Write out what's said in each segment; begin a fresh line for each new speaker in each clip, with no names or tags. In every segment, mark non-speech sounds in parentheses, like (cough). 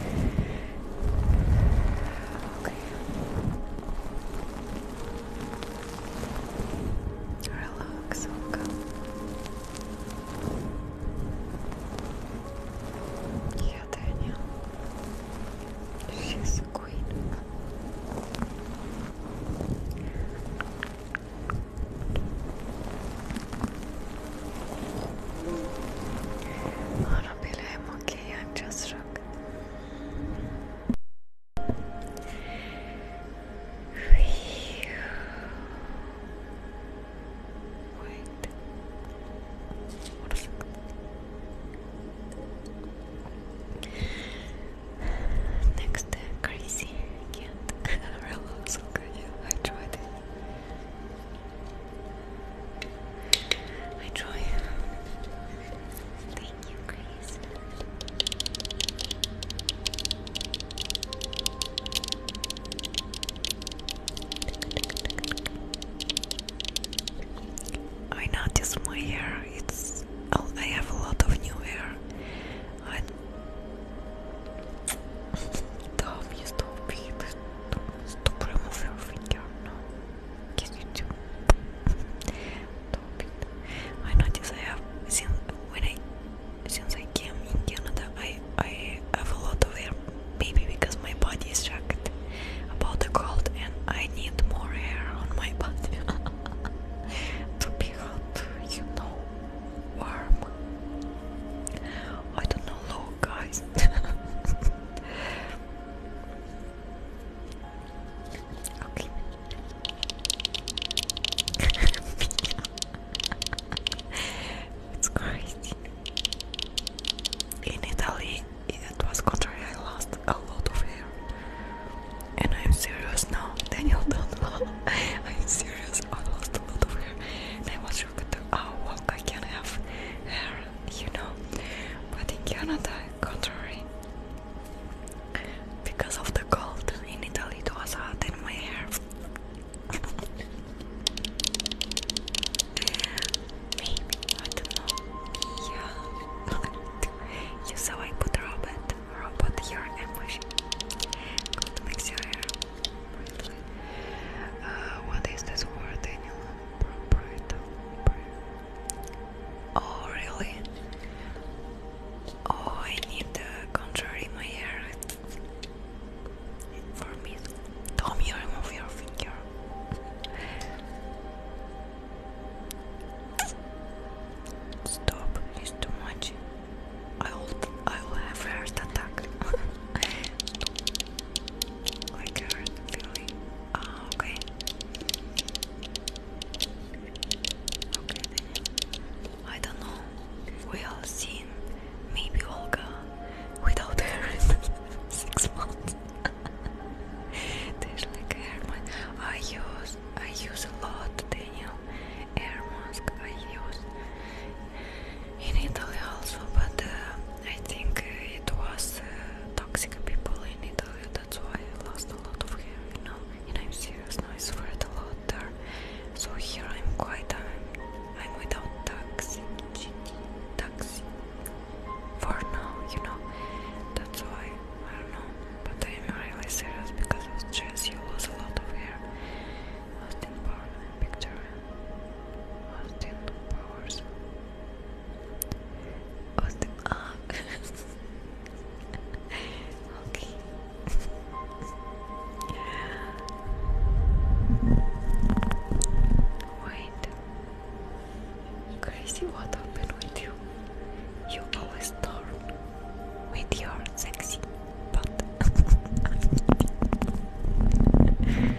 Okay. Relax, welcome. She's a queen. I'm okay, I'm just drunk. Wait. What a Next, uh, crazy. can't. Relax, okay. I tried I try. Thank you, Grace. I notice my hair. It's oh, I have a lot of new hair. I'm (laughs) Dumb, you stupid. Stop, remove your finger. No. Yes, you do. Stop it. I notice I have since when I since I came in Canada, I I have a lot of air, maybe because my body is shocked about the cold, and I need more air on my body (laughs) to be hot, you know, warm. I don't know, guys. (laughs) Okay. (laughs) it's crazy. In Italy, it was contrary. I lost a lot of hair, and I'm serious now. (laughs) Daniel, (laughs) I'm serious. I lost a lot of hair, I was shocked. Oh, what I can have hair you know. But in Canada, contrary, because of the cold in Italy, it was hot in my hair. Maybe I don't know. Yeah. (laughs) you saw I put robot, robot here and Good mix your uh, what is this word, Daniel? Oh, really? Oh, I need the contour in my hair for me. Tommy, remove your finger. Stop, it's too much. I will, I will have heart attack. (laughs) like a feeling. Ah, okay. Okay, I don't know. We all seen maybe Olga without (laughs) hair in six months. (laughs) There's like hair I use I use a lot, Daniel. Air mask I use in Italy also, but. Uh, I think it was uh, toxic people in Italy, that's why I lost a lot of hair, you know, and I'm serious now, I sweat a lot there, so here I'm quite, I'm, um, I'm without toxic, toxic, for now, you know, that's why, I don't know, but I'm really serious because of stress, you lost a lot of hair, lost in power, picture, lost in powers. Wait. Crazy, what happened with you? You always turn with your sexy butt. (laughs)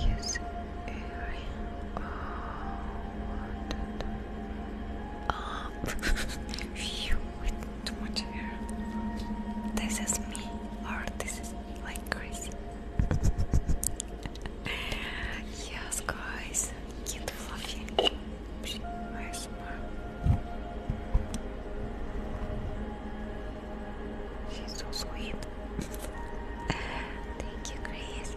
Yes, area. Oh, Ah, phew, too much air. This is me, or this is like crazy. (laughs) yes, guys. She's so sweet. Thank you, Grace.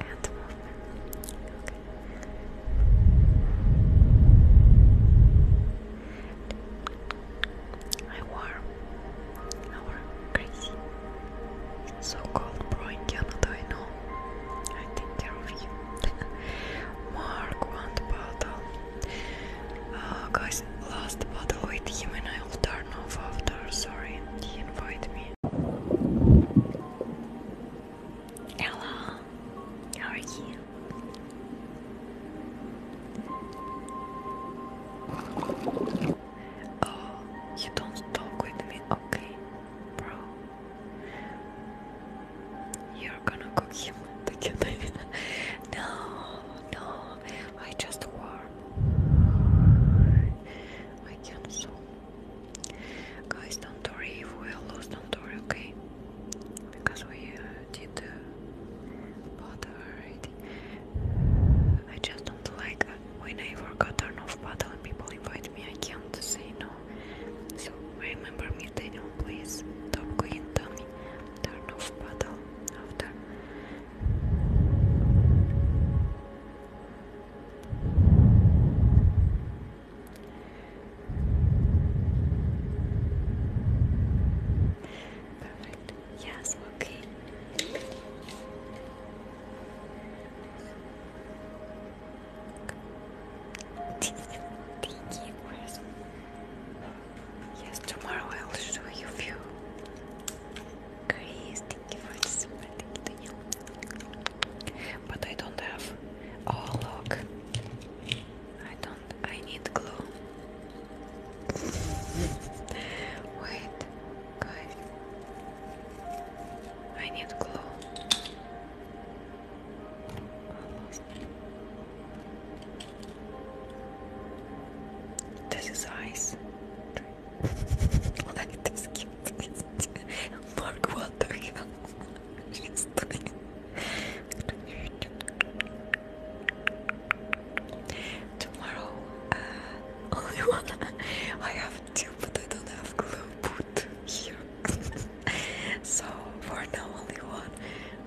And the movement. Okay so-called brain in I know. I take care of you. (laughs) Mark, one bottle. Uh, guys, last bottle with him and I will turn off after. Sorry, he invited me. Hello, how are you? Oh, you don't talk with me, okay, bro? You're gonna cook him together. (laughs) no, no, I just warm. I can't so. Guys, don't worry if we are lost, don't worry, okay? Because we uh, did uh, I just don't like uh, when I forgot turn off button people invite me, I can't say no. So remember me, Daniel, please. Stop clicking Tommy. Turn off button after. Perfect. Yes, okay. Thank you, Chris. Yes, tomorrow I will show you few. Chris, thank you for the super, But I don't have. Oh look, I don't. I need glue. (laughs) Wait, guys. I need glue. Almost. This is ice.
like cute. Mark water. Tomorrow,
uh, only one. I have want but I don't have glue put here. so for now, only one.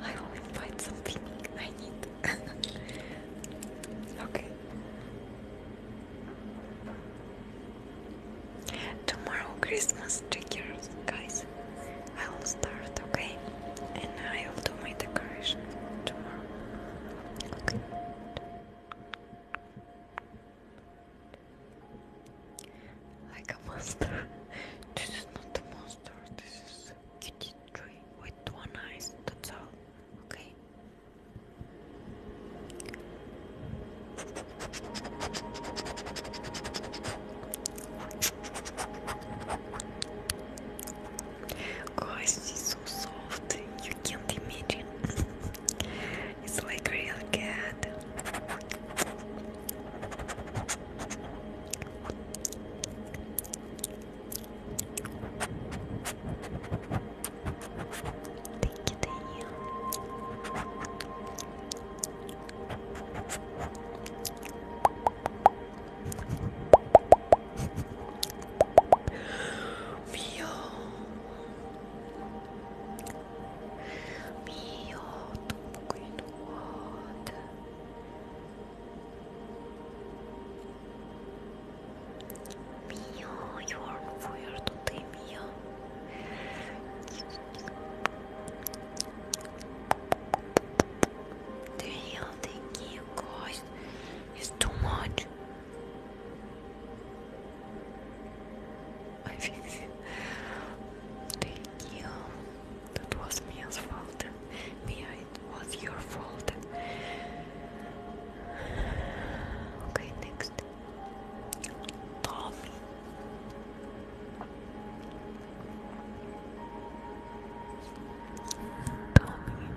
I will find something I need. (laughs) okay. Tomorrow Christmas triggers, guys. I will start, okay? And I will do my decoration tomorrow. Okay. Like a monster. (laughs) this is not a monster, this is a kitty tree with one eye, that's all. Okay. Guys, so you can't imagine. it's like real cat. Thank you, Daniel. We all took in water. you are on fire today, Mio. Damn, thank you guys. It's too much. I (laughs) think thank That was Mia's fault. Mia, it was your fault. Okay, next. Tommy. Tommy.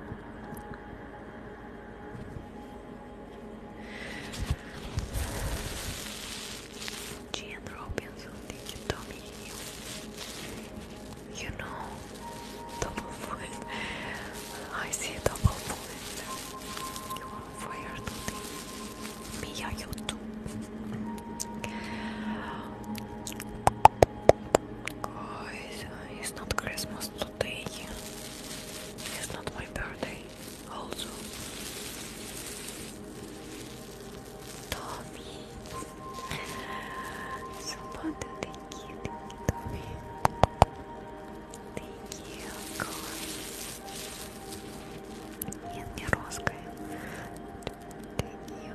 She and Rob something to Tommy Hill. You know, double foot. I see double foot. You are fired today. Me, yeah, you too. Guys, it's not Christmas today. It's not my birthday also. Tommy. So much thank you, thank you, Tommy. Thank you, Corey. Нет, не русская. Thank you.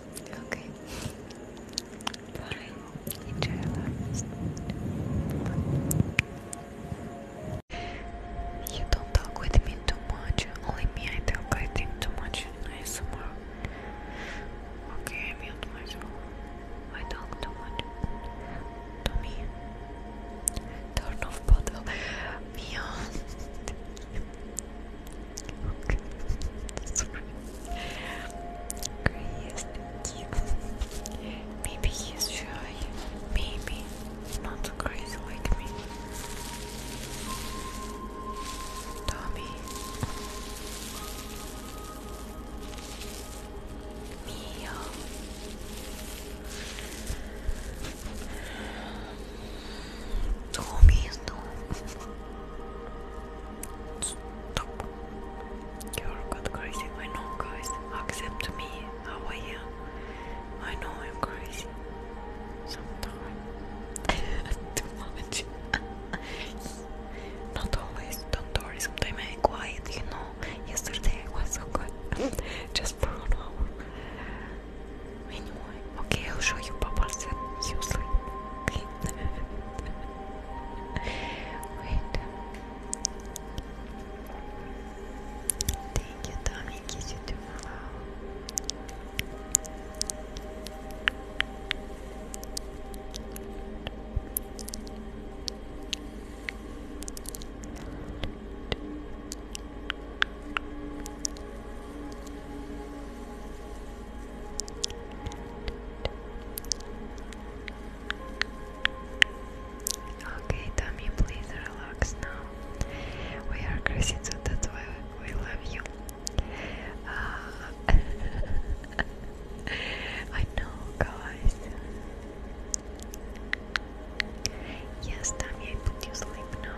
Okay. Bye. Enjoy You don't talk with me too much. Only me, talk, I think, too much. Nice Okay, I mute myself. I talk too much. To me. Turn off bottle. Beyond. (laughs) okay. Sorry. Maybe he's shy. Maybe not crazy like me. Tommy. Mia. Tommy is Stop. You're good crazy. I know guys. Accept me how I am. I know I'm crazy. Sometimes. (laughs) Too much. (laughs) Not always, don't worry, sometimes I quiet, you know. Yesterday was so good.
(laughs) Just for an hour. Anyway, okay, I'll show you Papa you sleep. Wait. Thank you, Tommy. Kiss you tomorrow. Okay, Tommy, please relax now. We are crazy so that's why we love you. Uh, (laughs) I know, guys. Yes, Tommy, I put you sleep now.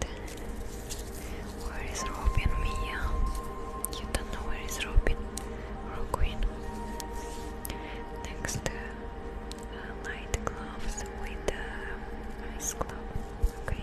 Text. Where is Robin, Mia? You don't know where is Robin or Next, light uh, gloves with uh, ice glove. Okay.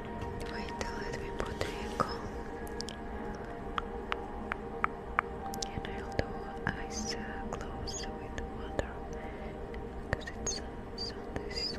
Wait, let me put the ankle. And I'll do eyes closed with water because it's so relaxing.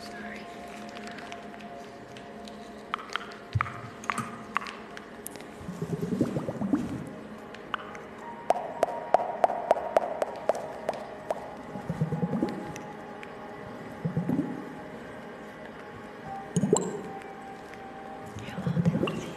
Sorry. Hello, Nancy.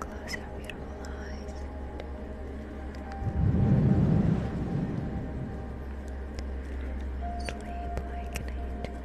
Close your beautiful eyes. Sleep like an angel.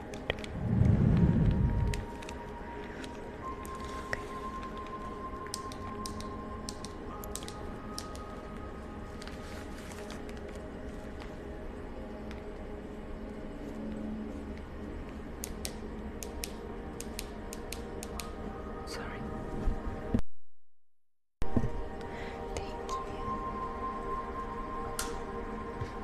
Sorry. Thank you. Next. Good.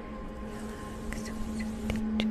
Relax with your teacher. Good.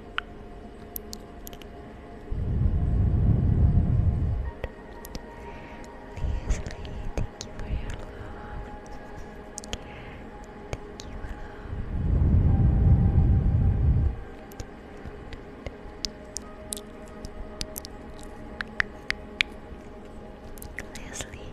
Leslie, thank you for your love. Thank you, love. Leslie.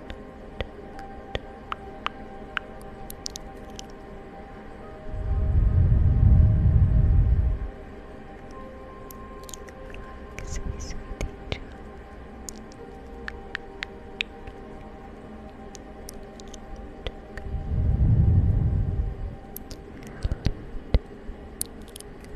Relax, my sweet angel. Relax,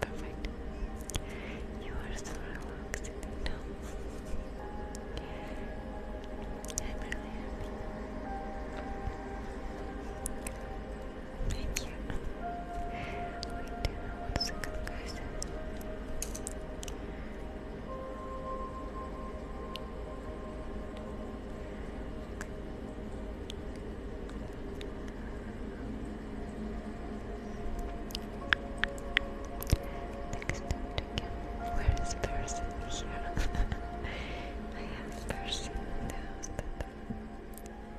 Perfect. You are so relaxed I'm really happy. Thank you. Wait, one second, guys. Next again, where is person here? I have person in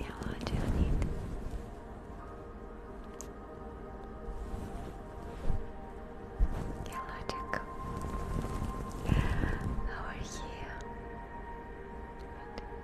Yeah, I do need. Yeah, logic. How are you? Good.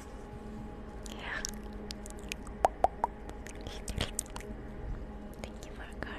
Thank you for a car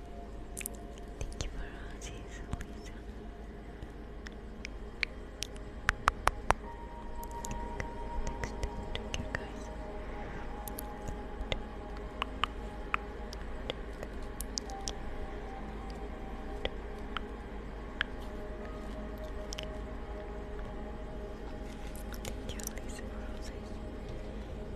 Thank you for roses, Lisa. Next to you guys. Thank you, Lisa, for roses. Thank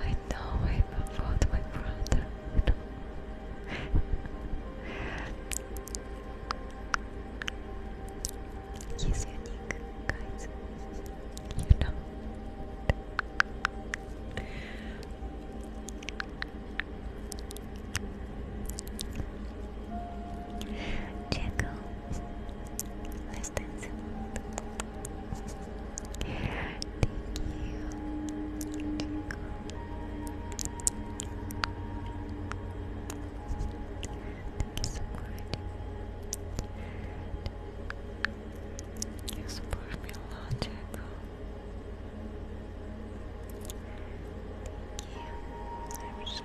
I know I about my brother. He's unique, guys. You know. Llegó la extensión. Thank you. Thank you so much. You support me a lot, Jacob. Thank you. I'm so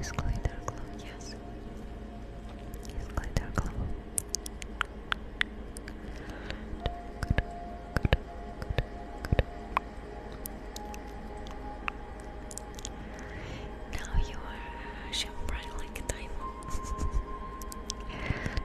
Is glitter glue? Yes. Is glitter glue? Now you are shine bright like a diamond. (laughs)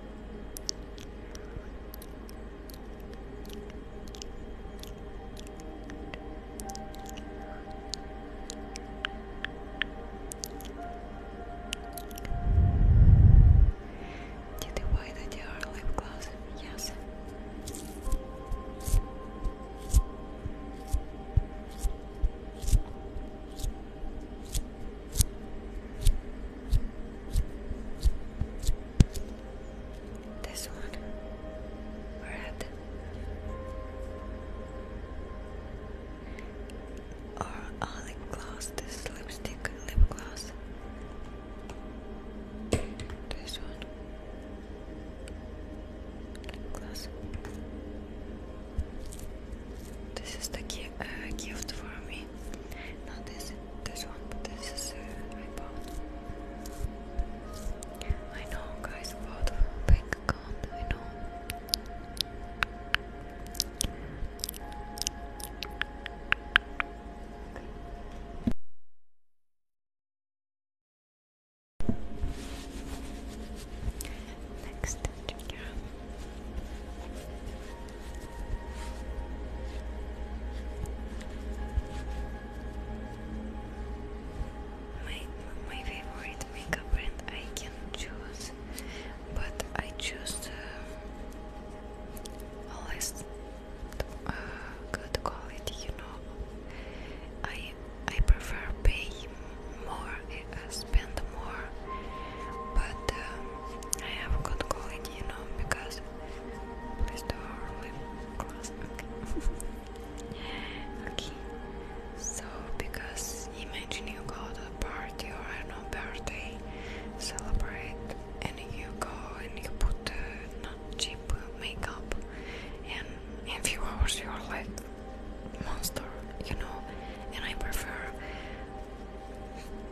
Did you buy the DR lip gloss? Yes. This one, red, or lip gloss. This lipstick, lip gloss. This one, gloss. This is the uh, gift
for me. Not this, one, but this is uh, I know, guys, about bank account. I know. Next, my, my favorite makeup brand I can choose, but I choose uh, a always uh, good quality. You know, I I prefer pay more, eh, uh, spend more, but um, I have good quality, you know, because please do our lip Okay. So because imagine you go to a party or I birthday, celebrate, and you go and you put uh, not cheap makeup, and in few hours you're like monster, you know. And I prefer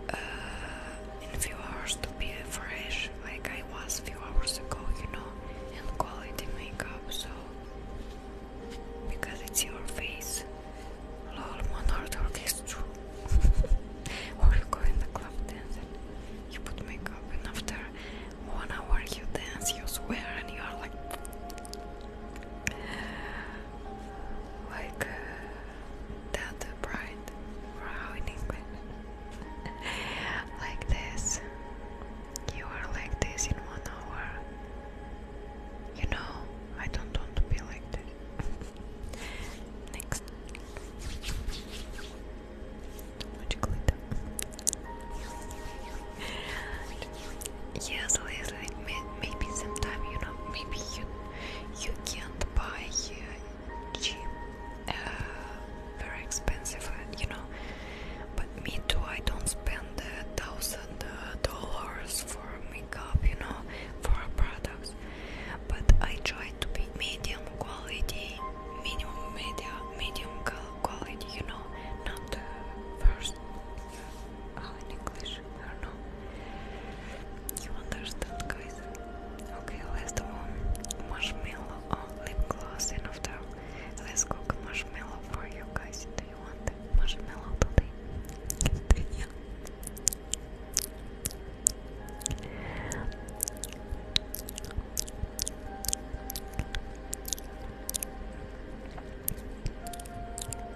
uh, in a few hours to be fresh like I was a few hours ago, you know, in quality makeup. So because it's your face, lol, monarch is true. or you go in the club dance and you put makeup, and after one hour you dance, you swear, and you are like. (sighs) Like uh, that bright brow like this. You are like this in one hour. You know, I don't want to be like this. (laughs) Next. Too glitter. (laughs) yes, Leslie. Maybe sometime you know. Maybe you you can uh, very expensive, uh, you know. But me too, I don't spend a thousand uh, dollars for makeup, you know, for products. But I try to be medium quality, minimum media, medium quality, you know, not first. I You understand, guys? Okay, last one. Marshmallow oh, lip gloss. Enough time. Let's cook marshmallow for you guys. Do you want the marshmallow today?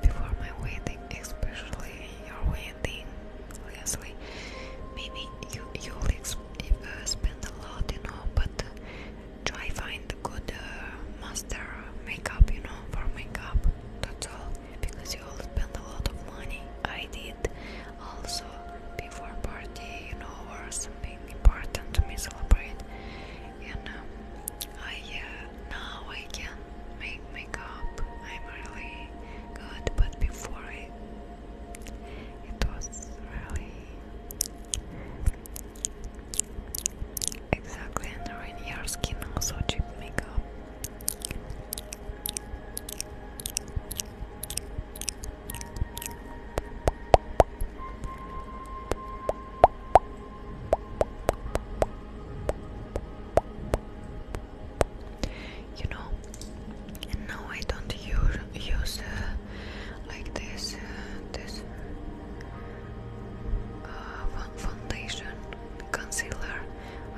Before my wedding, especially your wedding, spending Maybe you you'll uh, spend a lot, you know, but uh, try find good uh, master makeup, you know, for makeup. That's all, because you'll spend a lot of money. I did also before party, you know, or something important to me celebrate, and um, I now I can make makeup. I'm really good, but before it, it was really exactly and your skin. Also, cheap makeup you know. now I don't use use uh, like this uh, this uh, foundation concealer.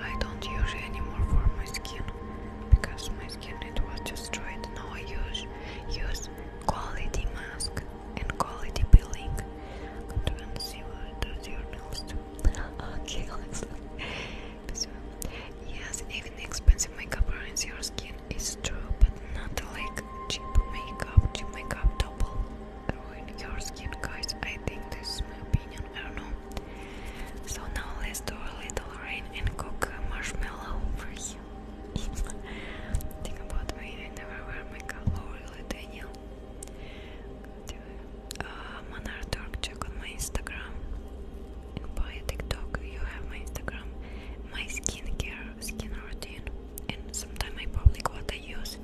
I don't use anymore for my skin because my skin it was destroyed. Now I use use quality mask and quality peeling. I'm to your nails (laughs) okay, let's. Yes, even expensive makeup ruins your skin. It's true, but not like cheap makeup. Cheap makeup double ruin your skin, guys. I think this my opinion. I don't know. So now let's do a little rain and cook marshmallow for you. (laughs) Think about me. I never wear makeup. Oh, really, Daniel? do check on my Instagram. And by TikTok, you have my Instagram, my skincare, skin routine, and sometimes I public what I use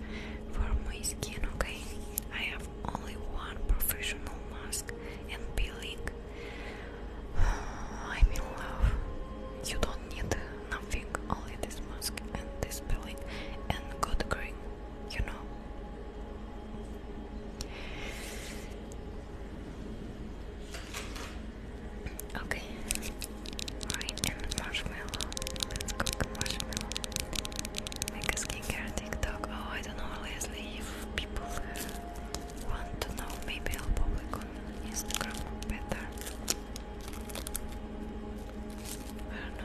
for my skin. Okay, I have only one professional mask and peeling. (sighs) I'm in love. You don't need nothing, only this mask and this peeling and good cream. You know, Okay, right, and marshmallow. Let's cook marshmallow. Make a skincare
TikTok. Oh, I don't know, Leslie, if people want to know, maybe I'll public on Instagram better. I don't know.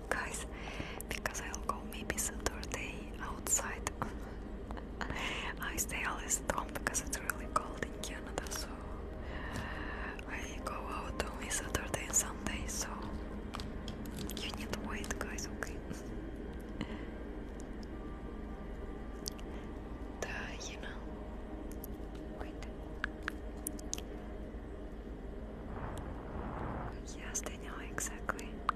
guys, because I'll go maybe Saturday outside. (laughs) I stay always at home because it's really cold in Canada, so I go out only Saturday and Sunday, so you need to wait, guys, okay? The, you know, wait. Yes, they know exactly.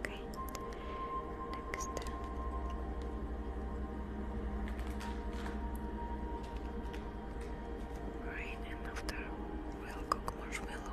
Okay. Next Right, and after we'll cook marshmallow.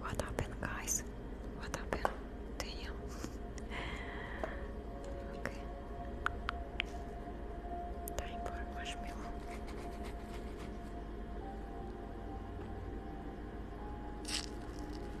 What happened, guys? What happened to you? okay. Time for marshmallow.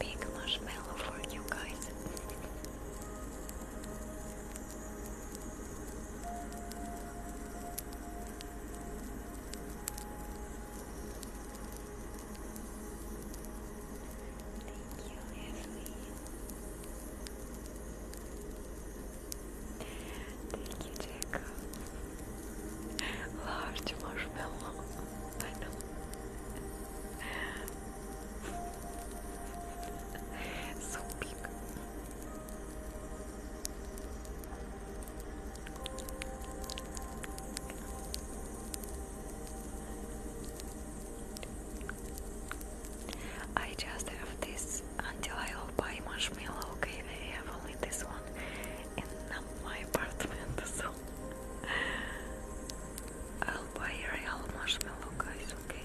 Big marshmallow for you guys. Thank you, Leslie. Thank you, Large marshmallow. I know. (laughs) so big. I just have this until I will buy marshmallow. Okay, I have only this one salon and not my apartment, so I'll buy real marshmallow, guys, okay?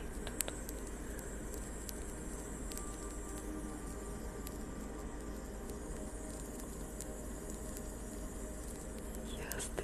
Yes, the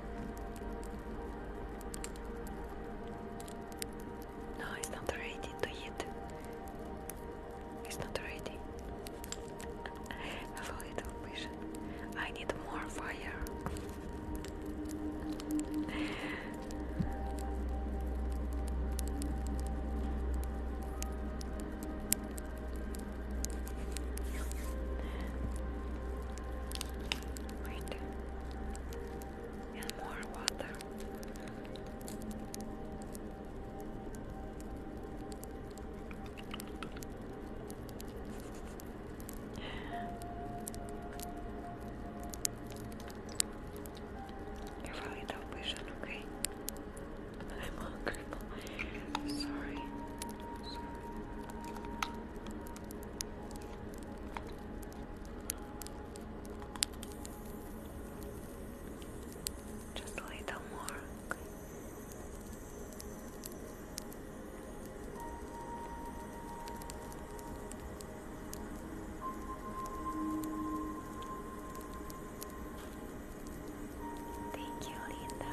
No, it's not ready to eat. It's not ready. a little vision. I need more fire. Wait. And more water. You're probably television, okay? (laughs) I'm hungry. Just a little more. Okay. Thank you, Linda.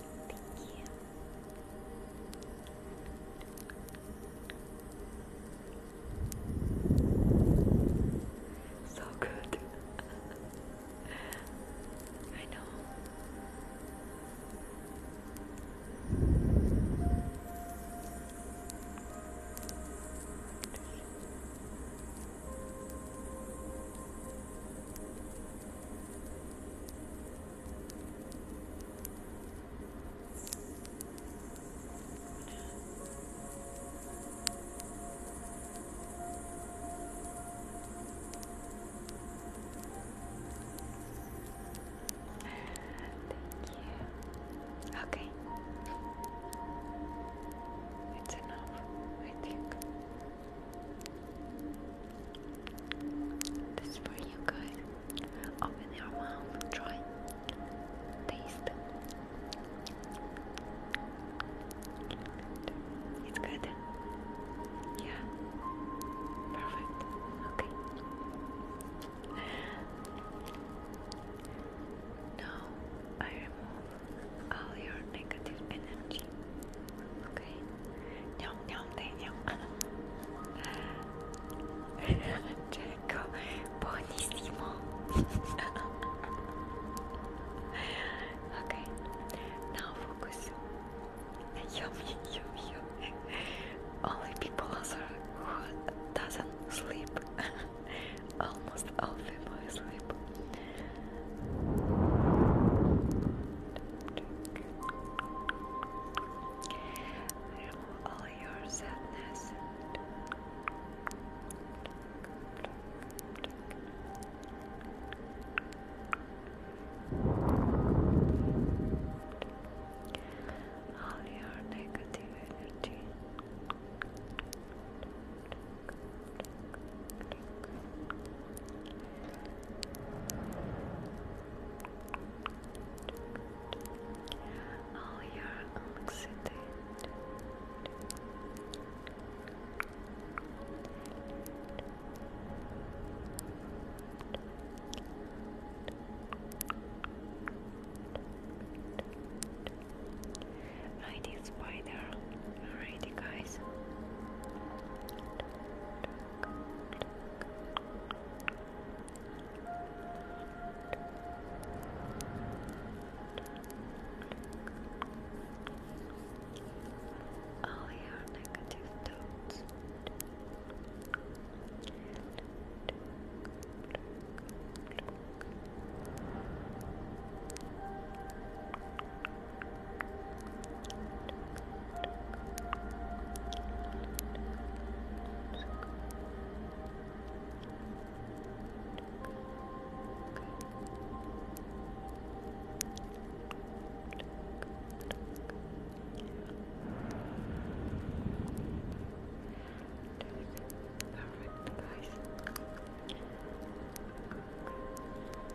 Thank you. So good. (laughs) I know. Thank you. Okay. It's enough, I think. This for you guys. Open your mouth, try, taste. It's good. Yeah. Perfect. Okay. Now I remove all your negative energy.
Good. Okay. Nyam nyam day nyam. Jacob, buonissimo. (laughs) okay. Now focus. Yummy, yummy, yummy. Only people who doesn't sleep. (laughs) Almost all people sleep. Remove all your sadness. All your negative all oh, your anxiety Right spider. Alrighty guys. All oh, your negative thoughts.
All Perfect, guys.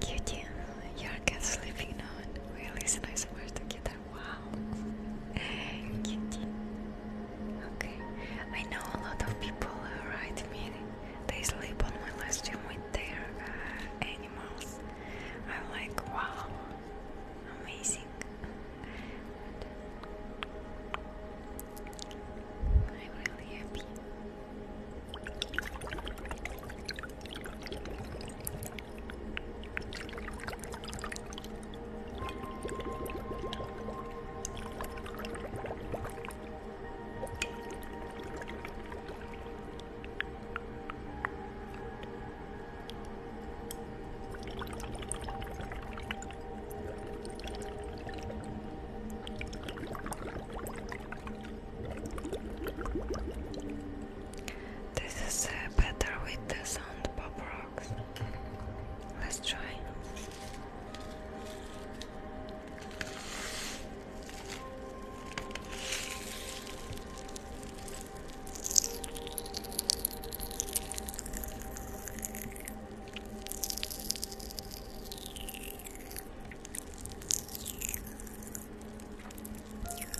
Cutie, your cat's sleeping now and really is nice words together. Wow.
Cutie. Okay. I know a lot of people write me. They sleep on my live stream with their uh, animals. I'm like, wow, amazing. I'm really happy. This is uh, better with the sound pop rocks. Let's try.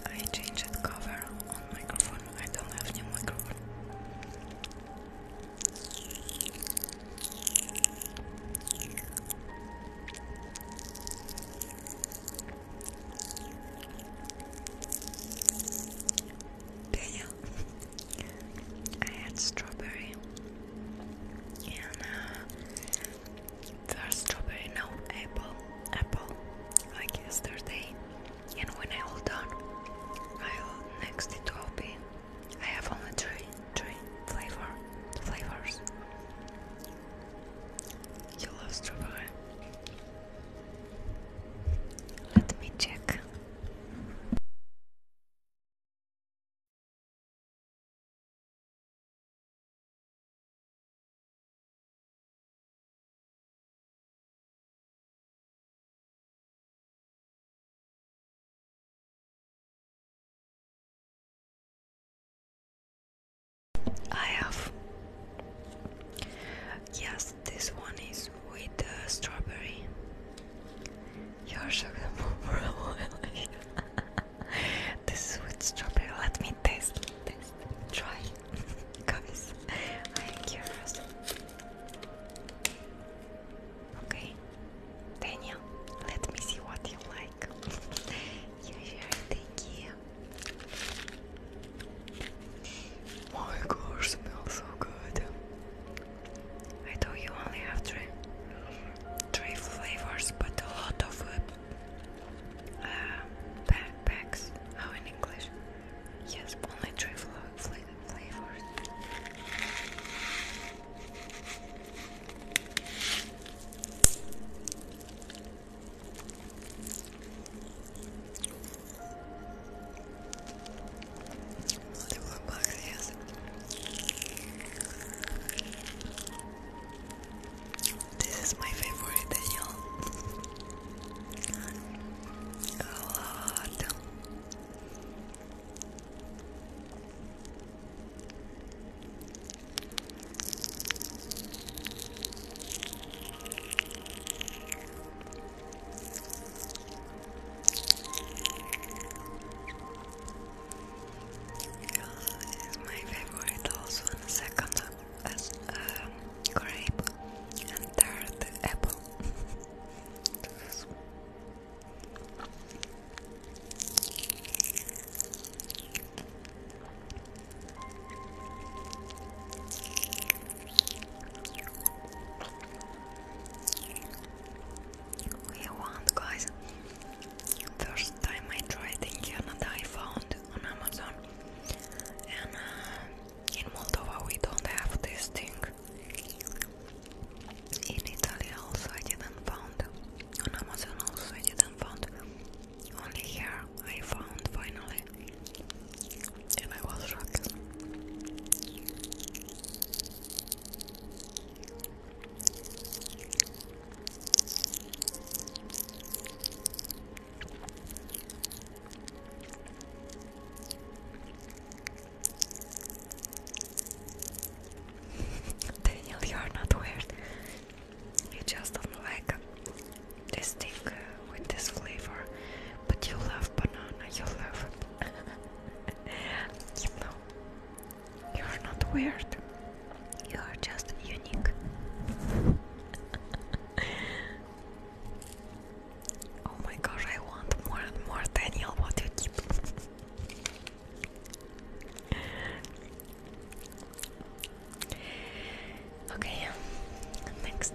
I changed cover on microphone. I don't have new microphone. Daniel. I had strawberry and uh, first strawberry, now apple, apple like yesterday. And when I hold done, I'll next it will be. I have only three, three flavor, flavors. You love strawberry. Let me check.
I have. Yes, this
one is with strawberry. You're sugarful for a while. this is with strawberry. Let me taste. Taste. Try. (laughs) Guys, I am curious. Okay. Daniel, let me see what you like. (laughs) you Thank you. My God, smells so good. I thought you only have three, three flavors, but a lot of uh, uh How in English? Yes, only three flavors. Another more This is my favorite, Daniel. A lot. This is my favorite also, second as um, grape, and third apple. (laughs) We want guys. First time I tried in Canada, I found on Amazon, and uh, in Moldova we don't have this thing. In Italy also I didn't find On Amazon also I didn't find. Only here I found finally and I was shocked. (laughs) Daniel, you are not weird. You just don't like this thing uh, with this flavor. But you love banana, you love (laughs) you you're not weird. You are just unique. (laughs) oh my gosh, I want more and more Daniel what you keep. okay, next.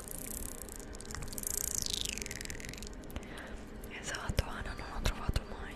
Esatto, Ana non l'ho trovato mai.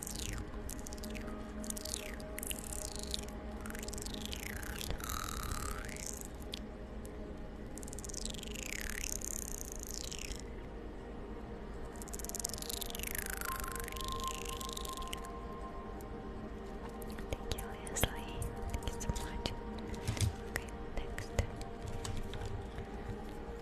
Thank you, Leslie. Thank
you so much. Okay, next.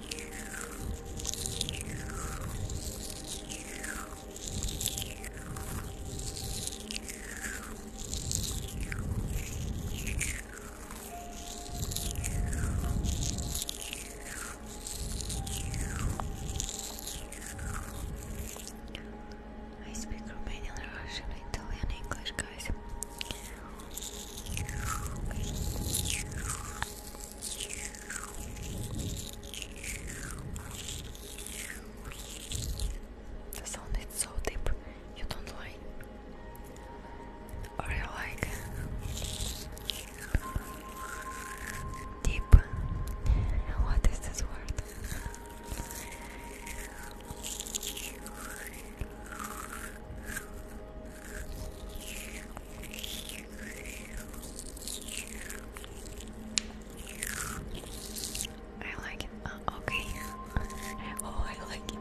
I speak Romanian, Russian, Italian, English, guys. The sound is so deep, you don't like or you like deep. What is this word? I like it. Uh, okay. (laughs) Oh, I like it.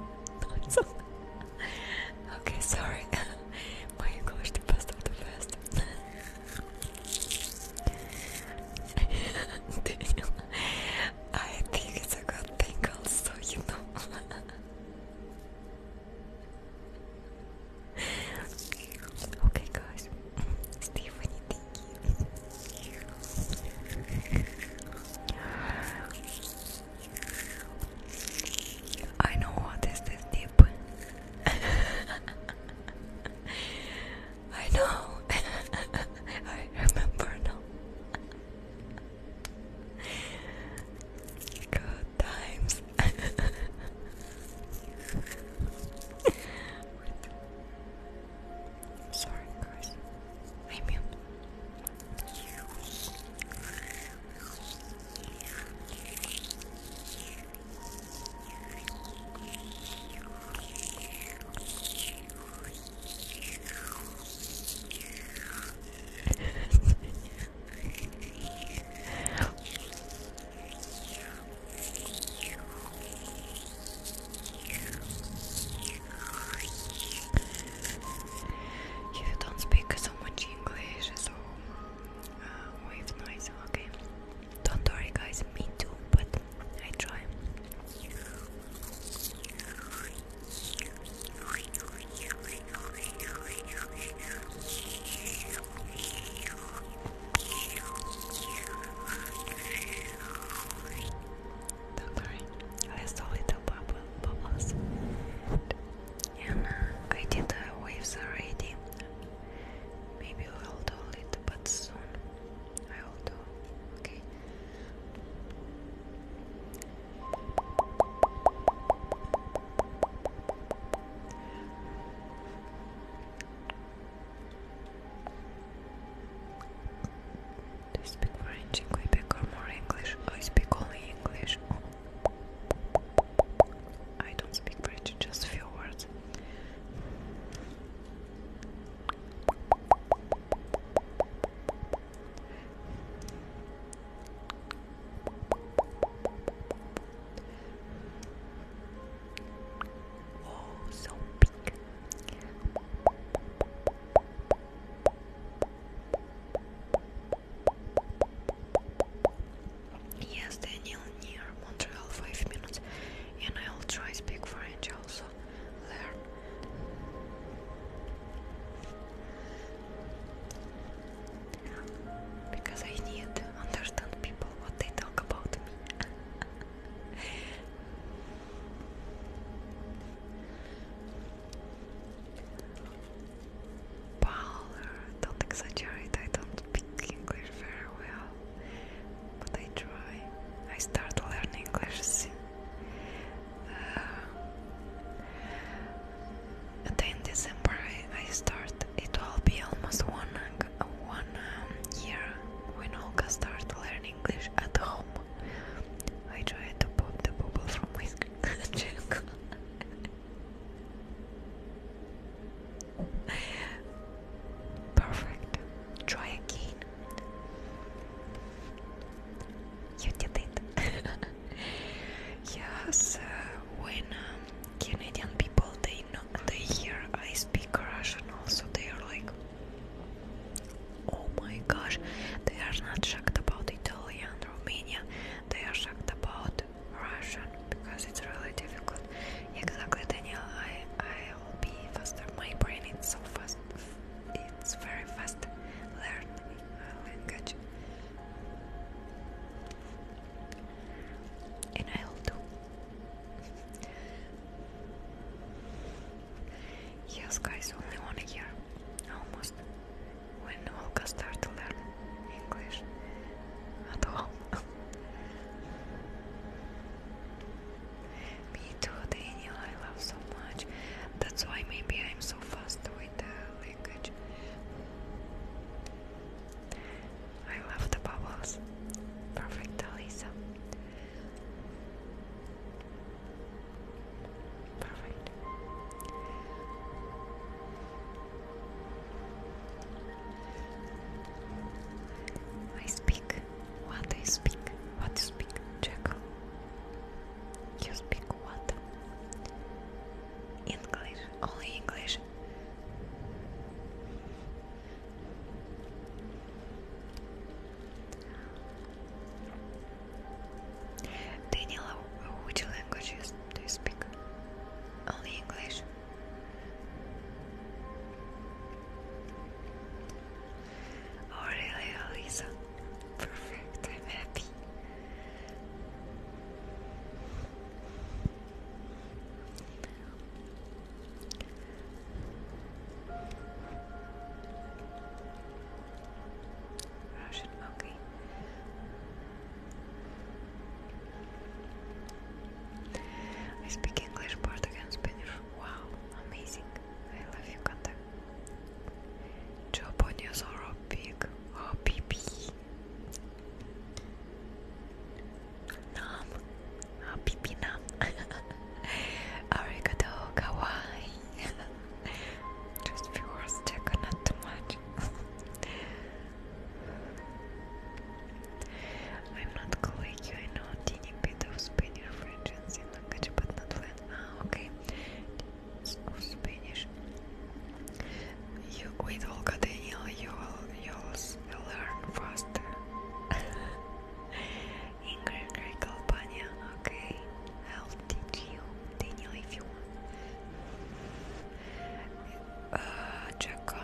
(laughs) okay, sorry. (laughs) My English, the best of the best.
I think it's a good thing, also, you know okay, guys. Stephanie, I know what is this deep. (laughs) I know. (laughs) I remember now. Good times this. (laughs) Sorry, guys. I mute. (laughs) you don't speak so much English, so uh, wave noise, okay? Don't worry, guys, me too, but I try sorry, I saw little bubble, bubbles. And I did the waves already. Maybe we'll do it, but soon I will do. Okay. Do you speak French in Quebec or more English? I oh, speak only English. I don't speak French, just a few words. Oh, Yes, Daniel, near Montreal, five minutes, and I'll try speak French also. Learn because I need to understand people what they talk about me. (laughs) Paula, don't exaggerate, I don't speak English very well, but I try. I start learning English then December I, start. It will be almost one one um, year when Olga start learning English at home. I tried to pop the bubble from my (laughs) cheek. Perfect. Try again. You did it. (laughs) yes, uh, um, Canadian people they know they hear I speak Russian also they are like oh my gosh they are not shocked about Italian Romania they are shocked about Russian because it's really difficult exactly Daniel I I'll be faster my brain is so fast it's very fast learn uh, language and i yes, guys, only one a year, almost. When Olga started to learn English at all. (laughs) Me too, Daniel, I love so much. That's why maybe I'm so fast with the language. I love the bubbles. Perfect, Alisa. Perfect. I speak. What I speak? What you speak, Jackal? You speak what? English. Only English. Daniel, which languages do you speak? Only English. Oh really, Alisa?
Perfect, I'm happy. I speak English, Portuguese, Spanish. Wow, amazing. I love you, Kanta.
Japanese are big, a oh, Nam, ah, pipi nam. Arigato, kawaii. (laughs) Just few words, Jacko, not too much. (laughs) I'm not clicking, I know teeny bit of Spanish, French, and Zen language, but not Latin. Ah, okay. Spanish you with Olga Daniel, you'll you'll learn faster. (laughs) Ingrid Greek okay. I'll teach you, Daniel, if you want. Uh,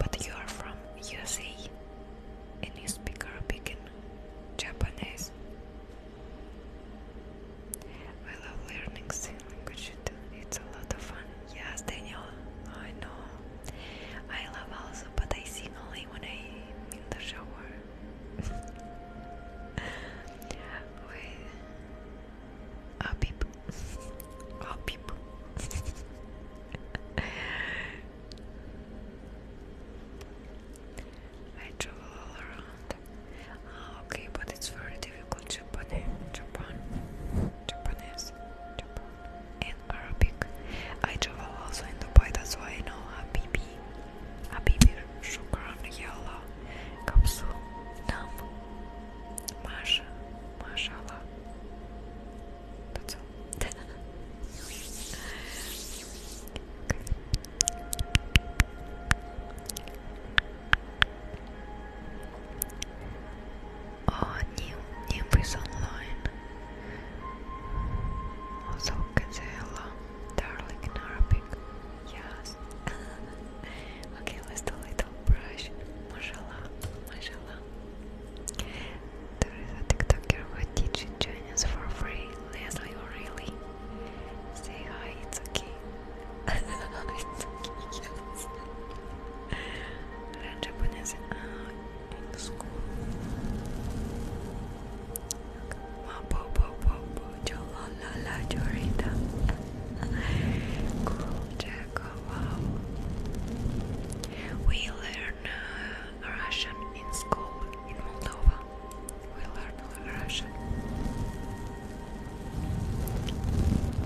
but you are from USA and you speak Arabic and Japanese. I love learning sign language. It's a lot of fun. Yes, Daniel. I know. I love also, but I sing only when I'm in the shower. (laughs) Wait. Oh, ah, beep. Oh, ah, beep. (laughs) I travel all around. Ah, okay, but it's very difficult triangle Japan, Japan, Japanese, Japan, Arabic. I travel also in Dubai, that's why I know Habibi, Habibi, Shukran, Yalla, Kapsu, Nam, Masha, Mashallah. That's all. (laughs) Oh, you, new is online. Also, can say hello, darling, Yes. (laughs) okay, let's do a little brush. Mashallah, mashallah. There is a TikToker who teaches Chinese for free. Leslie O'Reilly. Say hi, it's okay. (laughs) it's okay, yes. Uh, in school. Mapo, po, We learn uh, Russian in school in Moldova. We learn Russian.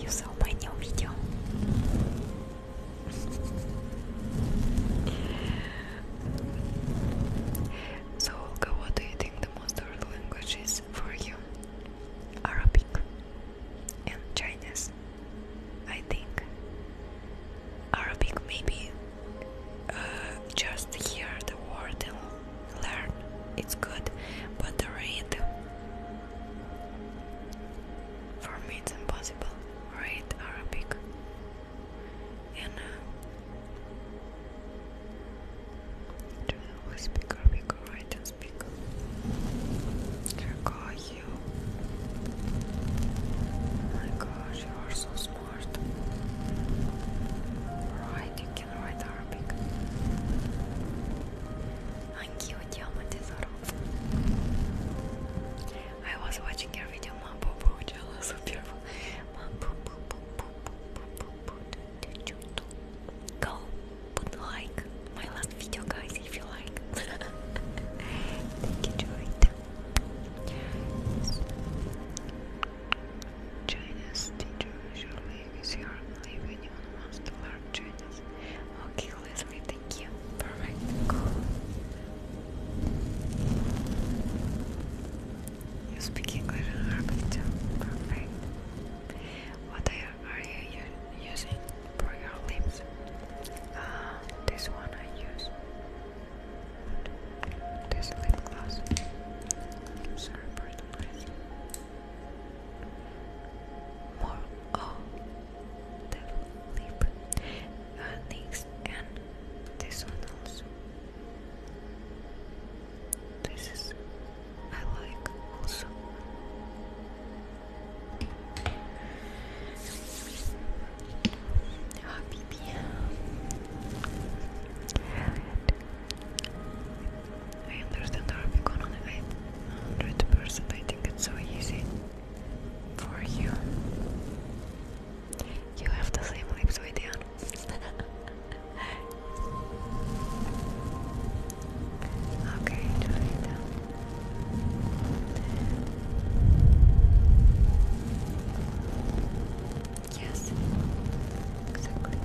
You saw my new video. so, Olga, what do you think the most hard language is for you? Arabic and Chinese. I think Arabic, maybe uh, just hear the word and learn, it's good, but the for me, it's impossible. Read Arabic. And uh, do we speak Arabic or speak? Oh my gosh, you are so smart. Right, you can write Arabic. Anch'io ti amo I was watching your video, Mom Boo Boo,
Go put like my last video guys if you like. Thank you Joyta. Chinese teacher usually because your only when anyone wants learn Chinese. Okay, Leslie, thank you. Perfect, You speak English and Arabic too. Perfect. What are you using for your lips? Uh, this one I use. This lip gloss. Sorry for more oh devil lip uh, next and this one
also this is I like also Ah, baby. I understand Arabic on it 100%. I think it's so easy for you. You have the same lips with Ian. okay, Yes, exactly.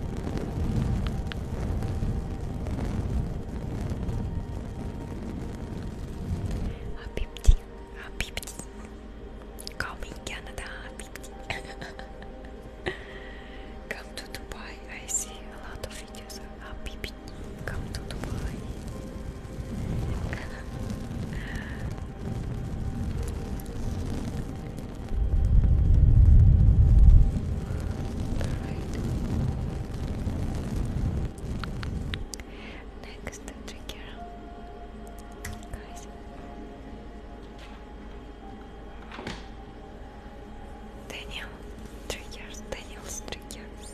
Habibti, Habibti. Call me Canada, Habibti. (laughs) Come to Dubai. I see a lot of videos of Habibti. Come to Dubai. (laughs) Next trigger, guys. Daniel triggers. Daniel's triggers.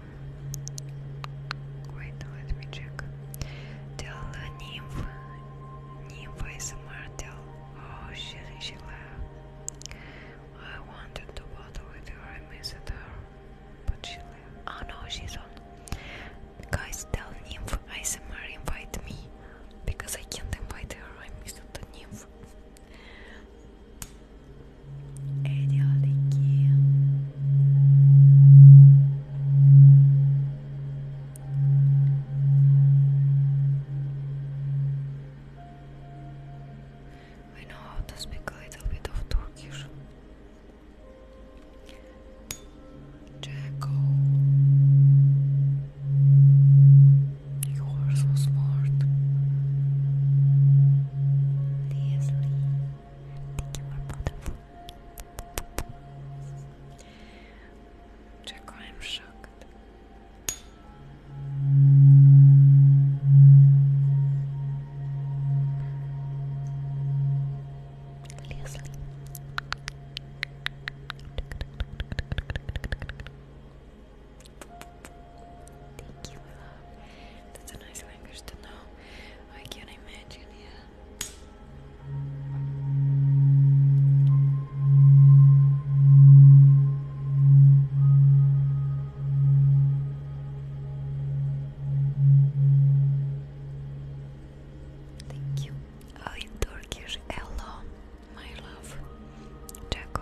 wait, let me check. Tell nymph. Nymph is mortal. Oh, she, she left. I wanted to bottle with her, I missed her. But she left. Oh no,
she's on. Guys, tell nymph ASMR invite me. Because I can't invite her, I missed the nymph. Эдиалики I know how to speak a little bit of Turkish. Jacko, you are so smart. Leslie, thank you for butterfly. Czego I'm shocked. Leslie. Thank you, my love. That's a nice language to know. I can imagine, yeah.
Thank you. Oh, in Turkish, hello, my love, Jaco.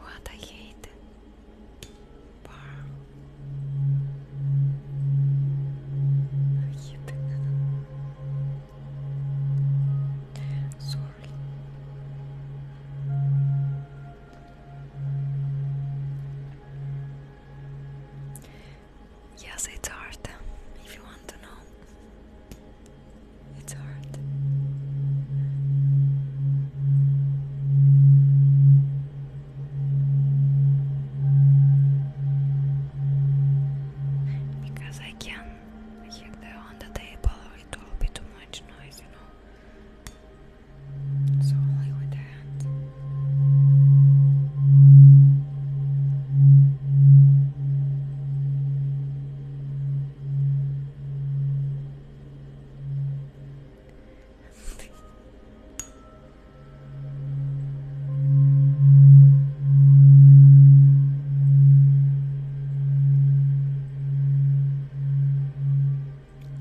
What I hate. Bar.
I hate. Sorry.
Yes, it's hard, if you want to know. It's hard. Because I can hit the on the table it will be too much noise, you know.
So only with the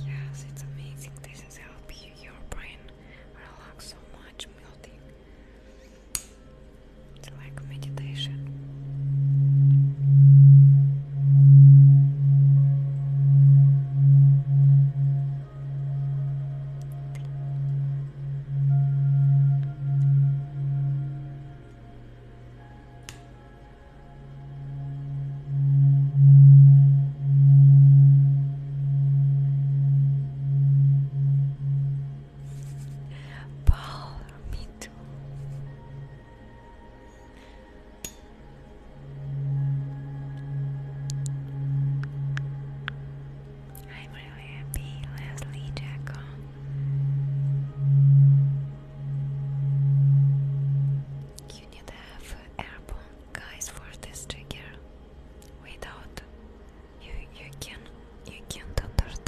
Yes, it's amazing. This is helping your brain relax so much, melting it's like meditation. Paul, me too. I'm really happy, Leslie Jacko. You need to have airborne guys for this trigger. Without you can you can't understand.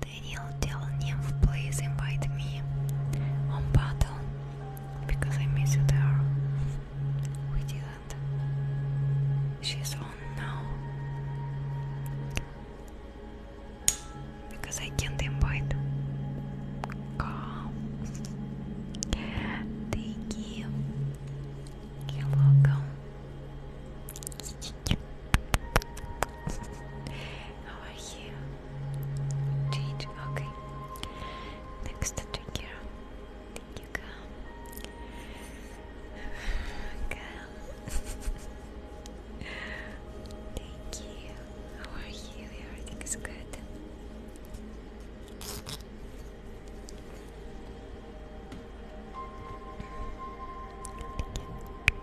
Daniel tell Nymph please invite me on battle because I miss you there. We didn't. She's on now. Because I can't invite. Come. Thank you. you welcome over here. Change, okay. Next trigger. Thank you, Cal.
Thank you. How are you? Everything is good. Thank you.